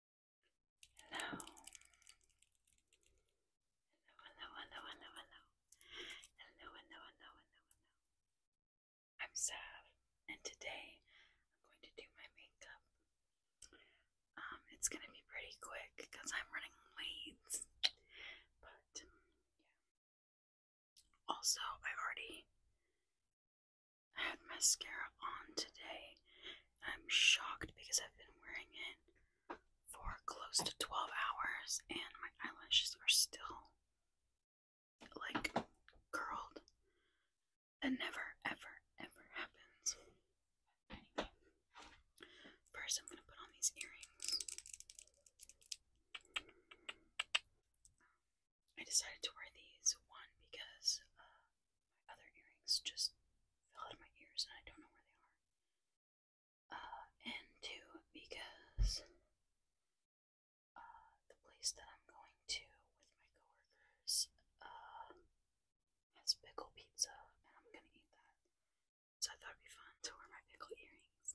Hello. Hello, hello, hello, hello, hello, hello, hello, hello, hello. I'm Sav, and today I'm going to do my makeup. Um, it's gonna be pretty quick because I'm running late, but yeah. Also, I already I had mascara on today. I'm shocked because I've been wearing it for close to 12 hours and my eyelashes are still like curled. That never, ever, ever happens. Anyway, first I'm going to put on these earrings. I decided to wear these one because uh, my other earrings just fell out of my ears and I don't know where they are. Uh, and two because uh, the place that I'm going to with my coworkers has pickle pizza and I'm gonna eat that. So I thought it'd be fun to wear my pickle earrings.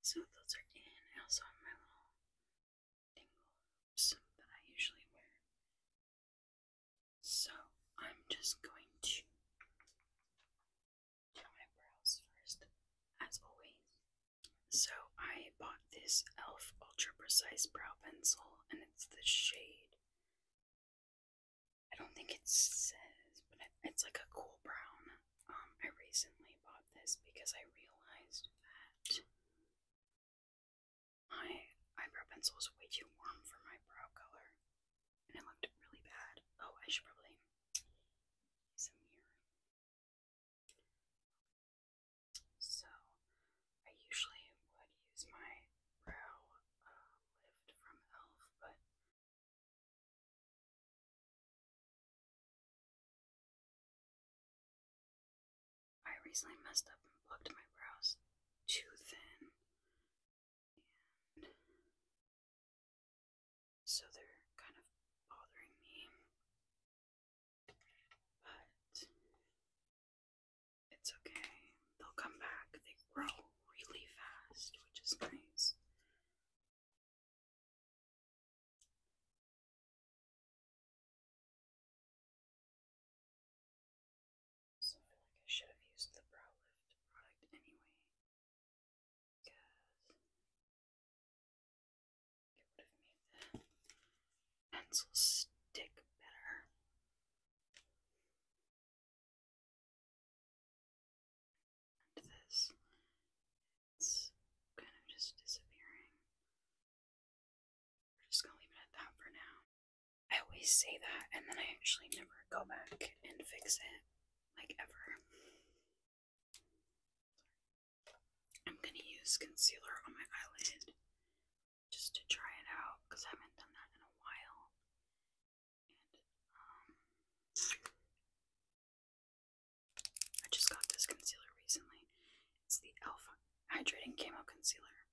So those are in. I also have my little dingle hoops that I usually wear. So I'm just going to do my brows first, as always. So I bought this e.l.f. Ultra Precise Brow Pencil, and it's the shade I don't think it says, but it's like a cool brown. Um, I recently bought this because I realized that my eyebrow pencil was way too warm for my brow color, and it looked really bad. Oh, I should probably some here. So I usually would use my brow um, lift from e.l.f., but I recently messed up and plucked my brows too thin, so they're kind of bothering me. But it's okay. They'll come back. They grow really fast, which is nice. So I feel like I should have used the brow lift product anyway. It would have made pencil stick better. this, it's kind of just disappearing. We're just gonna leave it at that for now. I always say that, and then I actually never go back and fix it, like ever. I'm gonna use concealer on my eyelid just to try it out because I haven't done that in a while. Um, I just got this concealer recently. It's the Alpha Hydrating Camo Concealer.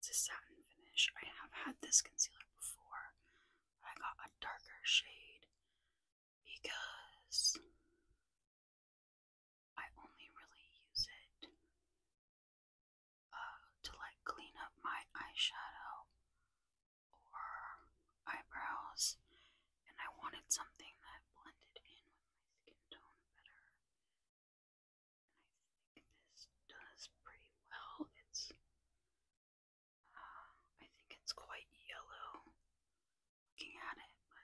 It's a satin finish. I have had this concealer before, I got a darker shade because I only really use it uh, to like clean up my eyeshadow or eyebrows, and I wanted something that blended in with my skin tone better. I think this does pretty well. It's, uh, I think it's quite yellow, looking at it, but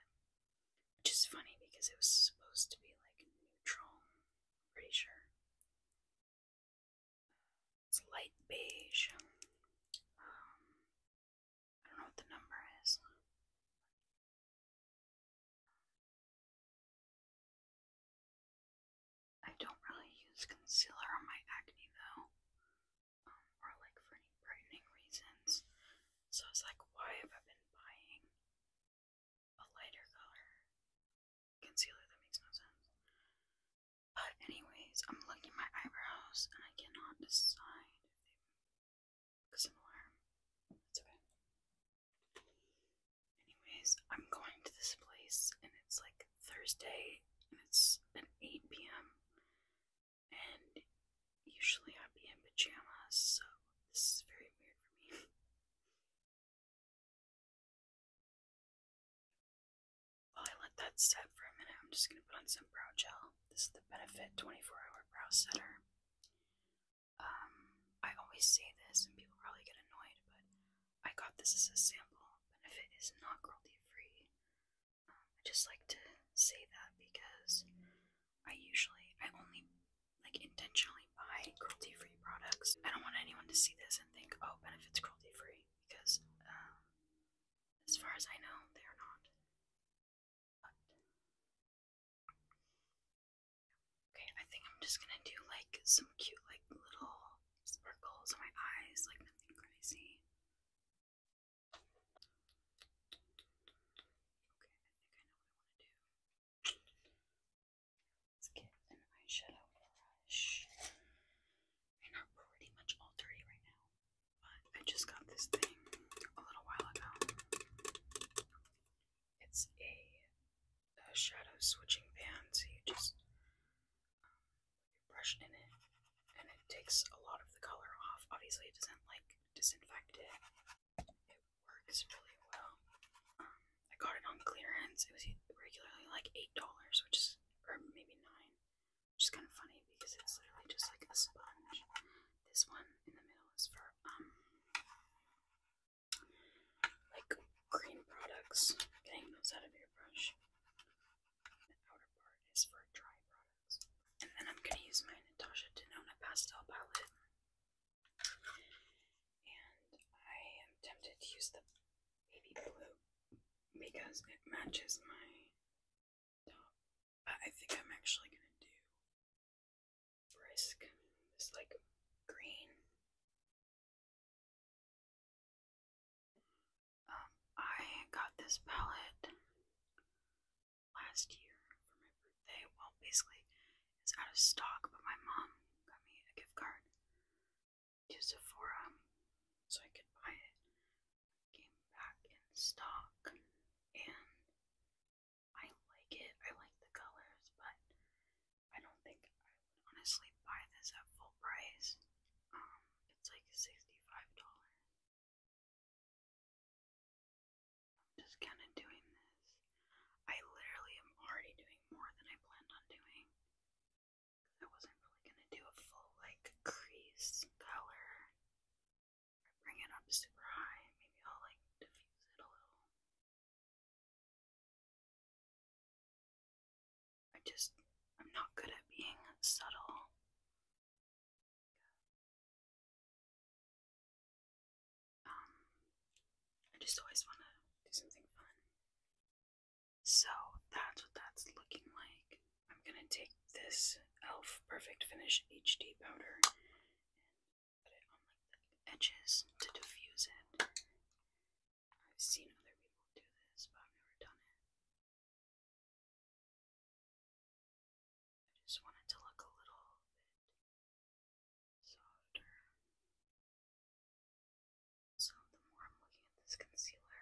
which is funny because it was supposed to be like neutral, pretty sure. It's light beige. Um, I don't know what the number is. I don't really use concealer on my acne though, um, or like for any brightening reasons. So I was like, why have I been buying a lighter color concealer? That makes no sense. But, anyways, I'm looking at my eyebrows and I cannot decide if they look similar. That's okay. Anyways, I'm going to this place and it's like Thursday and it's at 8 p.m and usually I'd in pajamas, so this is very weird for me. While I let that set for a minute, I'm just going to put on some brow gel. This is the Benefit 24-Hour Brow Setter. Um, I always say this, and people really get annoyed, but I got this as a sample. Benefit is not cruelty-free. Um, I just like to say that because I usually, I only like intentionally buy cruelty free products. I don't want anyone to see this and think, oh, Benefit's cruelty free, because um, as far as I know, they are not. okay, I think I'm just gonna do like some cute, like little sparkles on my eyes, like nothing crazy. Let's get an eyeshadow brush. They're pretty much all dirty right now, but I just got this thing a little while ago. It's a, shadow switching band, so you just um, brush in it and it takes a lot of the color off. Obviously, it doesn't like disinfect it. It works really well. Um, I got it on clearance. It was regularly like $8, which is, or maybe 9 which is kind of funny because it's literally just like a sponge. This one in the middle is for, um, like green products, getting those out of your brush. The outer part is for dry products. And then I'm going to use my Natasha Denona Pastel Palette. And I am tempted to use the baby blue because it matches my top. But I think I'm actually going to do brisk, this like green um, I got this palette last year for my birthday. Well, basically, it's out of stock, but my mom got me a gift card to Sephora so I could buy it. Came back in stock, and I like it. I like the colors, but I don't think I would honestly buy this at full price. Um, it's like sixty-five dollars. I'm just kind of doing this. I literally am already doing more than I planned on doing. I wasn't really gonna do a full like crease color. I bring it up super high. Maybe I'll like diffuse it a little. I just, I'm not good at being subtle. Um, I just always want to do something fun. So that's what that's looking like. I'm gonna take this e.l.f. Perfect Finish HD powder and put it on like the edges to diffuse it. I've seen other people do this, but I've never done it. I just want to look a little bit softer. So, the more I'm looking at this concealer,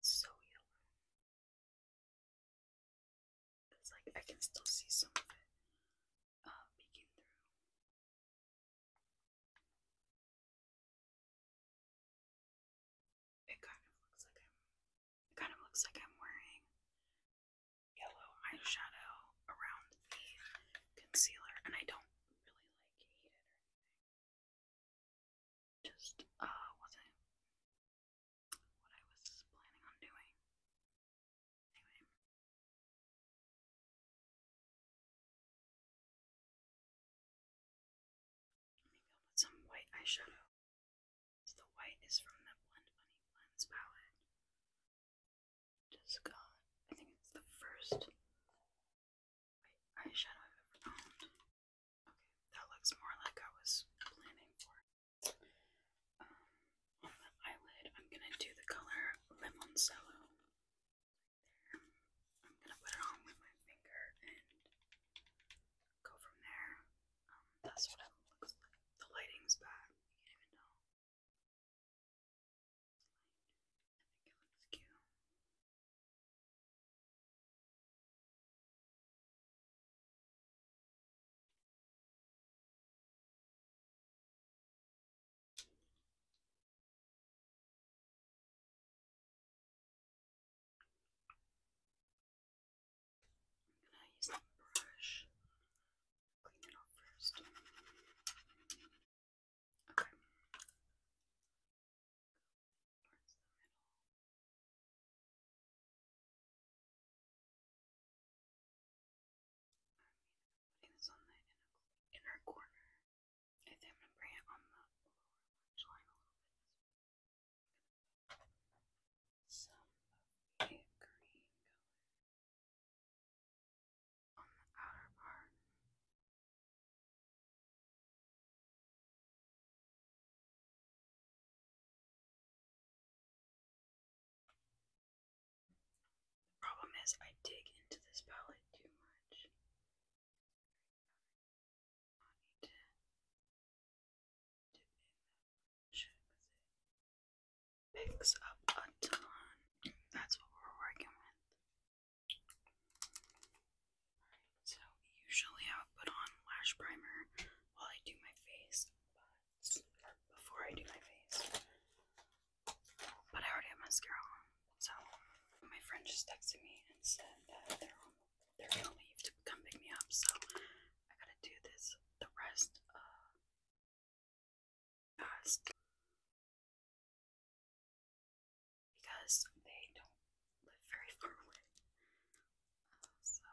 it's so yellow. It's like I can still see some of it, um, it kind of looks like I'm. It kind of wearing yellow eyeshadow around the concealer, and I don't really like it or anything. Just uh, wasn't what I was planning on doing. Anyway. Maybe i put some white eyeshadow. the white is from the Blend Bunny Blends palette. Just got, I think it's the first eyeshadow I've ever owned. Okay, that looks more like I was planning for. Um, on the eyelid, I'm gonna do the color Limoncello. I'm gonna put it on with my finger and go from there. Um, that's what it looks like. The lighting's bad. You can't even know. I think it looks cute. I'm going to use the brush. Clean it off first. Okay. Towards the middle putting this on the inner corner. I think I'm going to bring it on the lower lash line a little bit. Some of the uh, green color on the outer part. Problem is, I dig into this palette too much. picks up a ton. That's what we're working with. So usually I would put on lash primer while I do my face, before I do my face. But I already have mascara on, so my friend just texted me and said that they're they're gonna leave to come pick me up. So I gotta do this the rest of past because they don't live very far away. Uh, so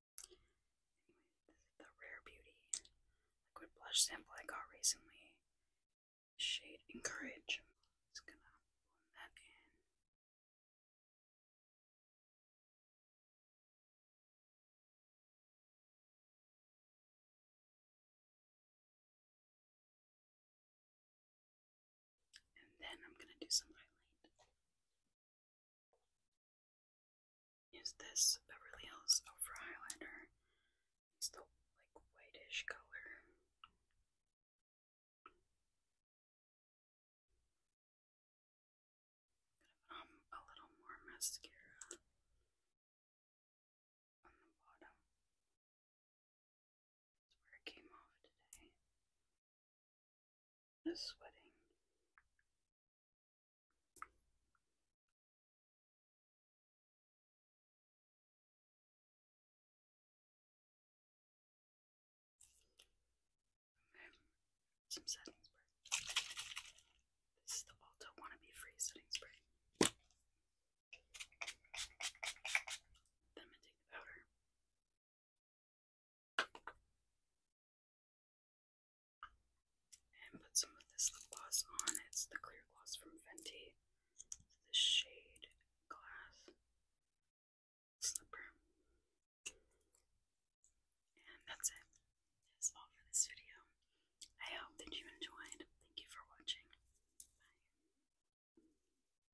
Anyway, this the Rare Beauty liquid blush sample I got recently. Shade Encourage. just gonna blend that in. And then I'm going to do some highlight. Use this Beverly Hills Over Highlighter. It's the like whitish color. going to put a little more mascara on the bottom. That's where it came off today. Some setting spray. This is the Alta Wannabe Free Setting Spray. Then I'm gonna take the powder and put some of this lip gloss on. It's the clear gloss from Fenty. It's the shade Glass Slipper. And that's it. That's all for this video. I hope that you enjoyed. Thank you for watching. Bye.